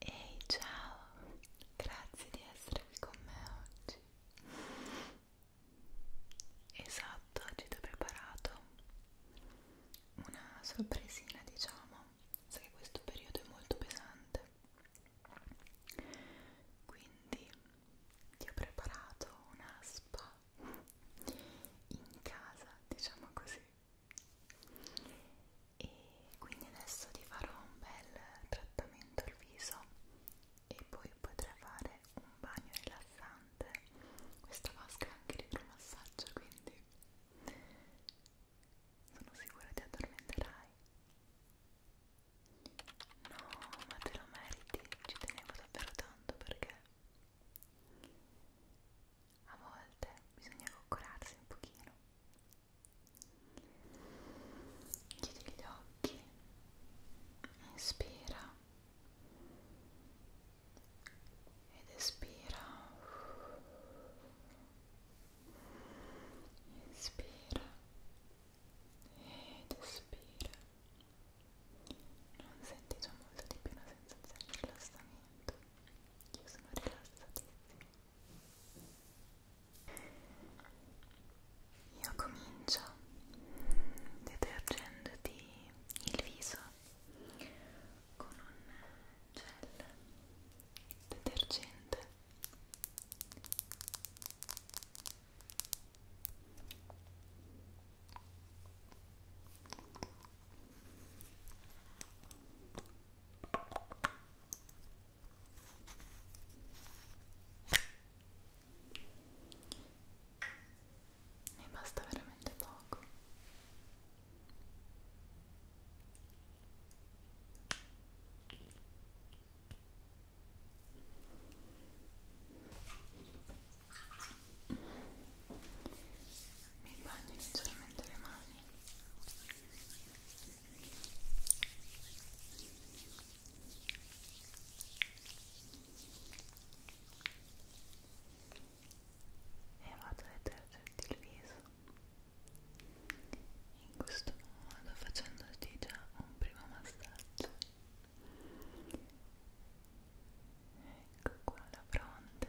Ehi ciao, grazie di essere qui con me oggi. Esatto, oggi ti ho preparato una sorpresina, diciamo. So che questo periodo è molto pesante. Quindi ti ho preparato una spa in casa, diciamo così e quindi adesso ti farò un bel trattamento al viso e poi potrai fare un bagno rilassante questa vasca è anche l'idromassaggio quindi sono sicura ti addormenterai no ma te lo meriti ci tenevo davvero tanto perché a volte bisogna coccolarsi un pochino chiudi gli occhi inspira ed espira inspira ed espira non sentite molto di più la sensazione di rilassamento io sono rilassatissima io comincio detergendoti il viso con un gel detergente ne basta veramente poco mi bagno leggermente le mani e vado a detergerti il viso in questo modo facendoti già un primo massaggio ecco qua la fronte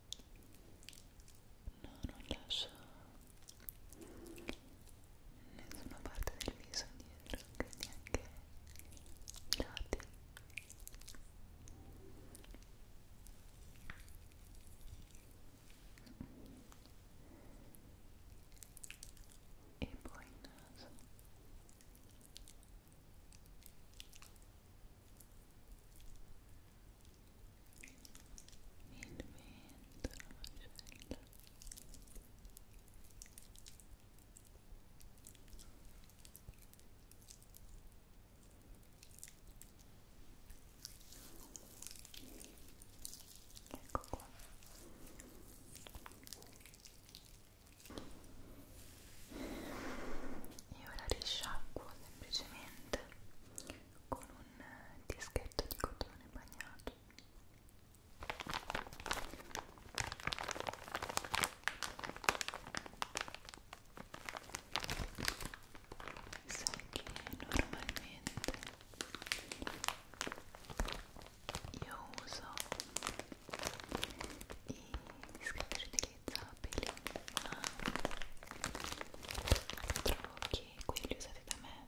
No, non lascio nessuna parte del viso indietro, quindi anche i lati. E poi il naso. Ecco il vento la ecco qua e ora risciacquo semplicemente con un eh, dischetto di cotone bagnato sai che normalmente io uso i dischetti riutilizzabili stabili ma ah, trovo che quelli usati da me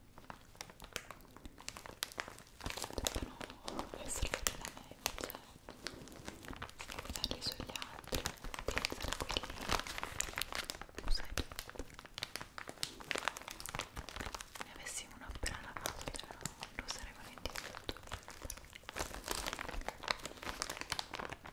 debbano essere usati da me invece devo usarli sugli altri quindi sarà quelli usai ne avessi uno appena lavato però lo sarei volentieri tutto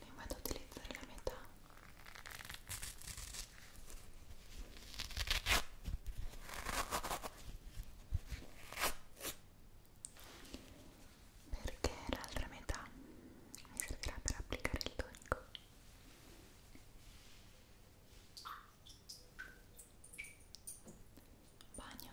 ne vado ad utilizzare la metà perché l'altra metà mi servirà per applicare il tonico bagno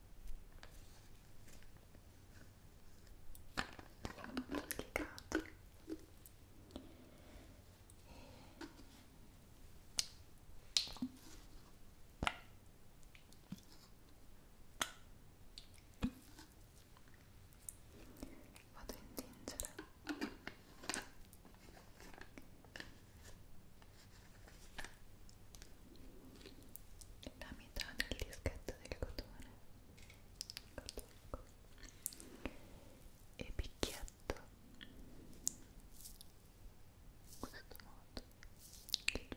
un po' delicato e vado a intingere la metà del dischetto del cotone, cotone. e picchietto in questo modo che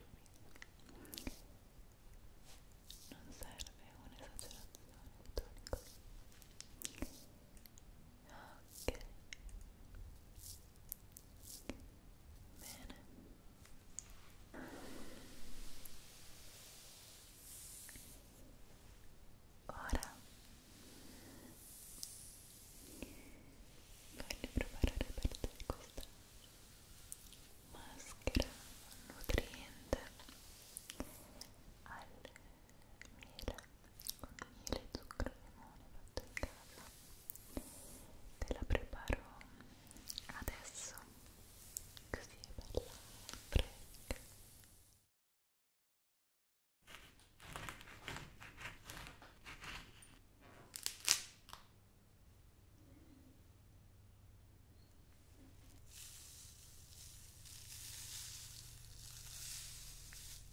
non serve un'esagerazione di tonico ok Bene. Ora voglio preparare per te questa maschera nutriente al miele con miele, zucchero e limone fatto in casa te la preparo adesso così è bella fresca Ecco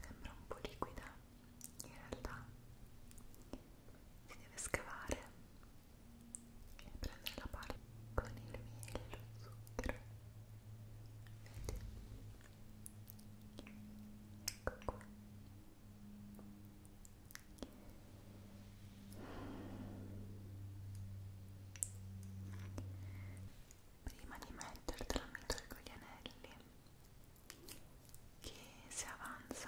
Sembra un po' liquida, in realtà si deve scavare e prendere la parte con il miele e lo zucchero. Vedi? Ecco qua prima di mettertela mi tolgo gli anelli che se avanza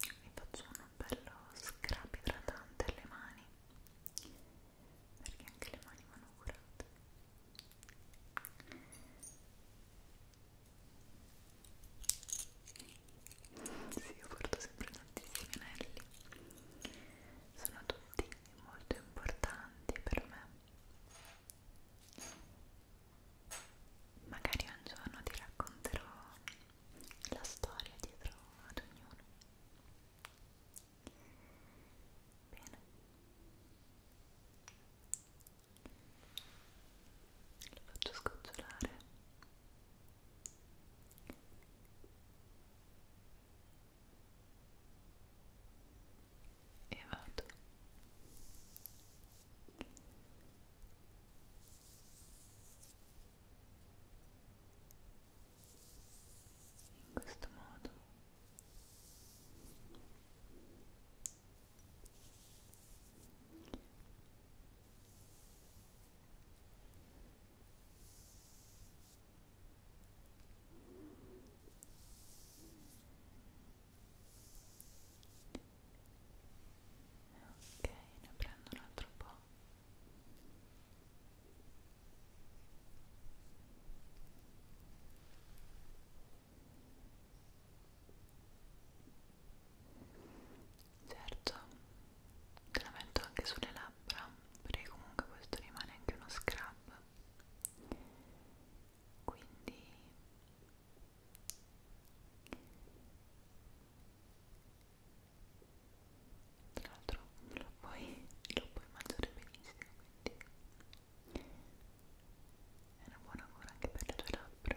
vi faccio un bello scrap idratante alle mani perché anche le mani vanno curate sì, io porto sempre tantissimi anelli sono tutti molto importanti per me magari un giorno ti racconterò la storia dietro ad ognuno bene lo faccio scocciolare e vado in questo modo Ok, ne prendo un altro po' certo te la metto anche sulle labbra perché comunque questo rimane anche uno scrub quindi tra l'altro lo puoi, lo puoi mangiare benissimo quindi è una buona cura anche per le tue labbra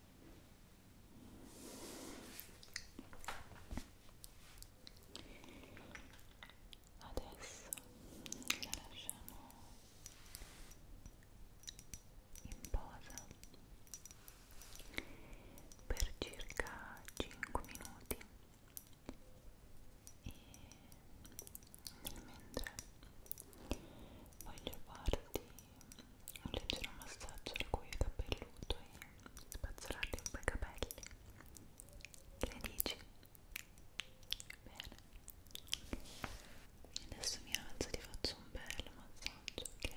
Adesso la lasciamo in posa per circa 5 minuti e nel mentre voglio farti un leggero massaggio al cuoio capelluto e spazzolarti un po' i capelli che ne dici? bene adesso mi alzo e ti faccio un bel massaggio ok?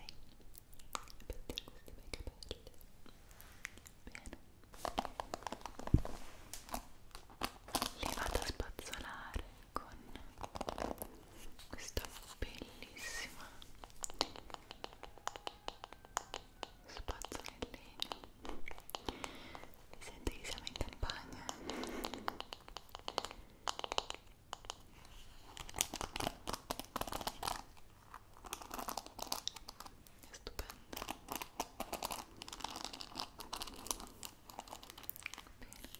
per te questi bei capelli bene li vado a spazzolare con questa bellissima spazzola in legno mi sento che siamo in campagna è stupendo bene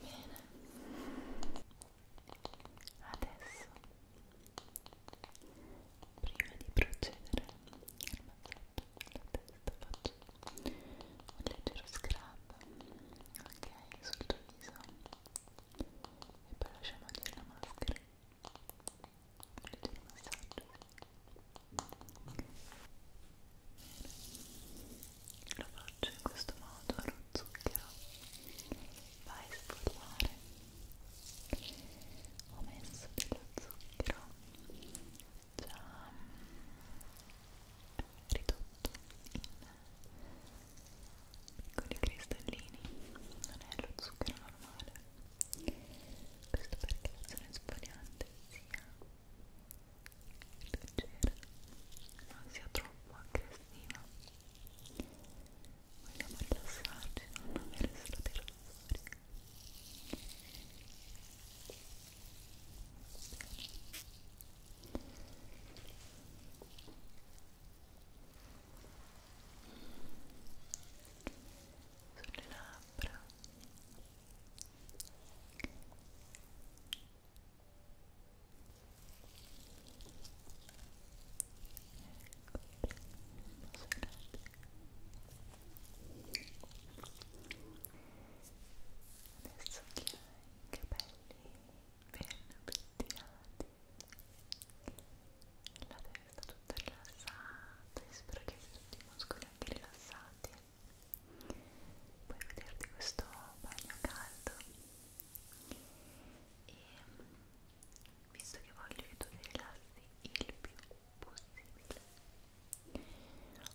Bene. Adesso, prima di procedere al massaggio della testa, faccio un leggero scrub, ok, sul tuo viso e poi lasciamo agire la maschera. Bene il massaggio lo faccio in questo modo lo zucchero va a esfoliare ho messo dello zucchero già mm, ridotto in piccoli cristallini non è lo zucchero normale questo perché la zona esfoliante sia leggera non sia troppo aggressiva vogliamo rilassarci non avere strati rossori Ora sulle labbra adesso che hai i capelli ben pettinati la testa tutto rilassato e spero che avete tutti i muscoli anche rilassati puoi vederti questo bagno caldo e visto che voglio che tu ti rilassi il più possibile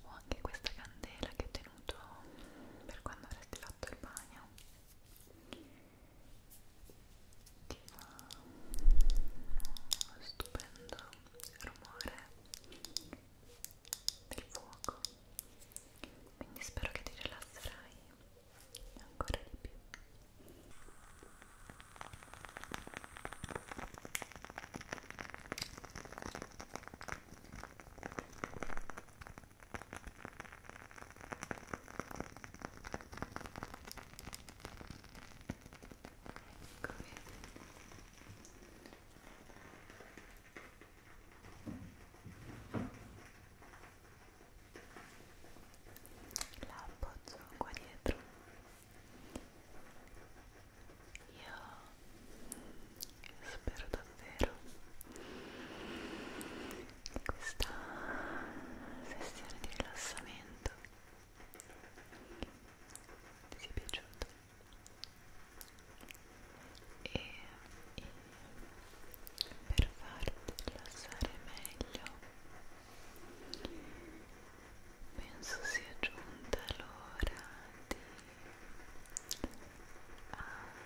ho anche questa candela che ho tenuto per quando avresti fatto il bagno ti fa uno stupendo rumore del fuoco quindi spero che ti rilasserai ancora di più Eccomi. La appoggio qua dietro. Io spero davvero che questa sessione di rilassamento ti sia piaciuto e, e per farti rilassare meglio penso sia giunta l'ora di abbassarti